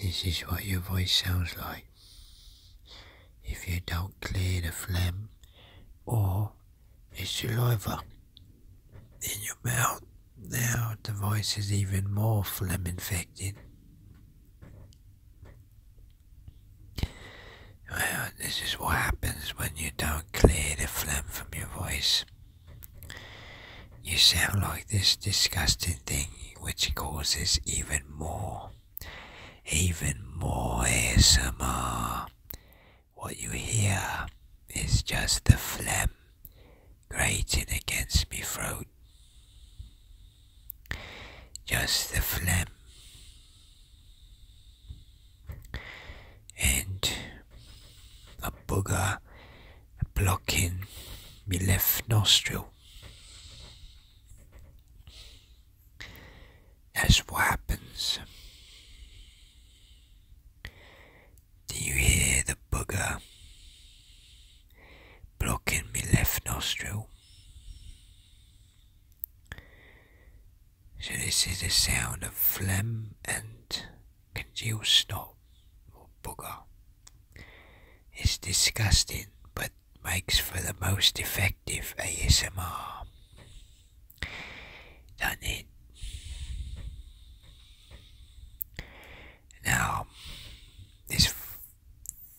This is what your voice sounds like. If you don't clear the phlegm or the saliva in your mouth, now the voice is even more phlegm infected. Well, this is what happens when you don't clear the phlegm from your voice. You sound like this disgusting thing, which causes even more, even more ASMR. What you hear is just the phlegm grating against my throat. Just the phlegm. And a booger blocking my left nostril. That's what happens. Do you hear the bugger blocking my left nostril? So this is the sound of phlegm and congealed snot or booger. It's disgusting, but makes for the most effective ASMR. Done it. Now, this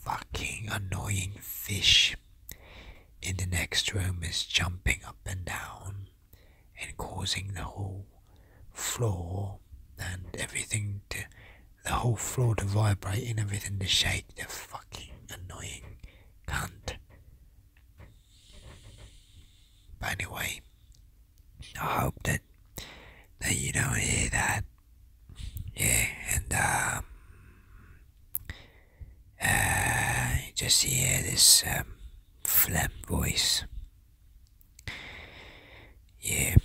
fucking annoying fish in the next room is jumping up and down and causing the whole floor and everything to the whole floor to vibrate and everything to shake the fucking annoying cunt. But anyway, I hope that that you don't hear that. Yeah, and um uh just hear this um voice yeah,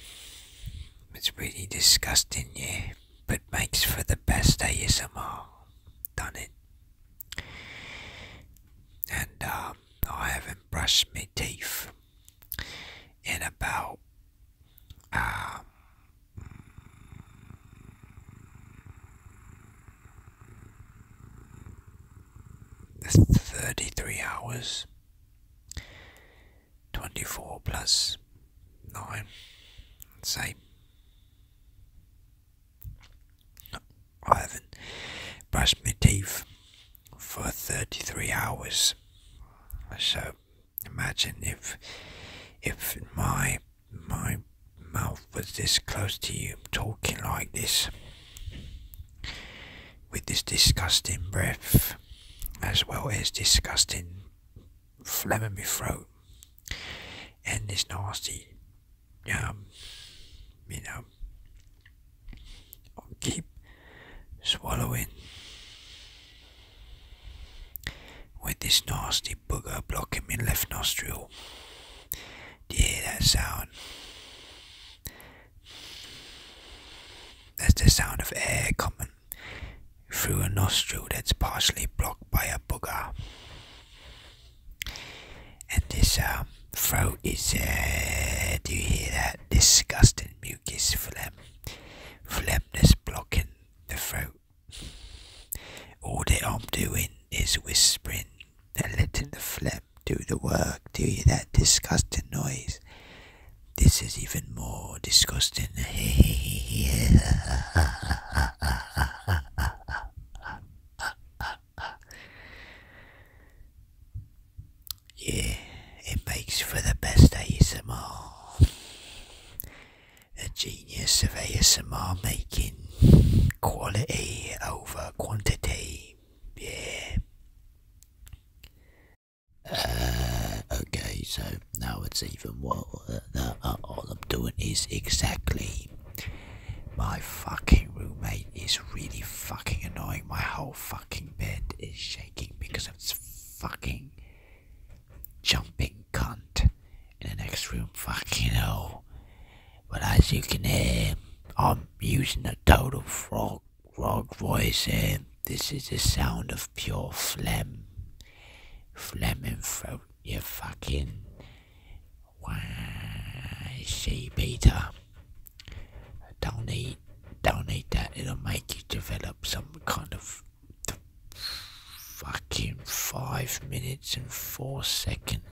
it's really disgusting, yeah, but makes for the best ASMR. Done it. And um, I haven't brushed my teeth in about um, 33 hours. 24 plus 9. Same. I haven't brushed my teeth for 33 hours. So imagine if if my my mouth was this close to you talking like this with this disgusting breath as well as disgusting phlegm in my throat and this nasty um you know keep swallowing with this nasty booger blocking my left nostril. Do you hear that sound? That's the sound of air coming through a nostril that's partially blocked by a booger. And this um, throat is, uh, do you hear that? Disgusting mucus phlegm. Phlegm that's blocking the throat. All that I'm doing is whispering letting the phlegm do the work. Do you that disgusting noise? This is even more disgusting. yeah, it makes for the best ASMR. A genius of ASMR making quality over quantity. Yeah. Uh, okay, so now it's even worse. Uh, uh, all I'm doing is exactly. My fucking roommate is really fucking annoying. My whole fucking bed is shaking because of this fucking jumping cunt in the next room. Fucking hell. But as you can hear, I'm using a total frog frog voice here. This is a sound of pure phlegm. Phlegm and throat, you fucking why sheep eater? Don't eat, don't eat that, it'll make you develop some kind of fucking five minutes and four seconds.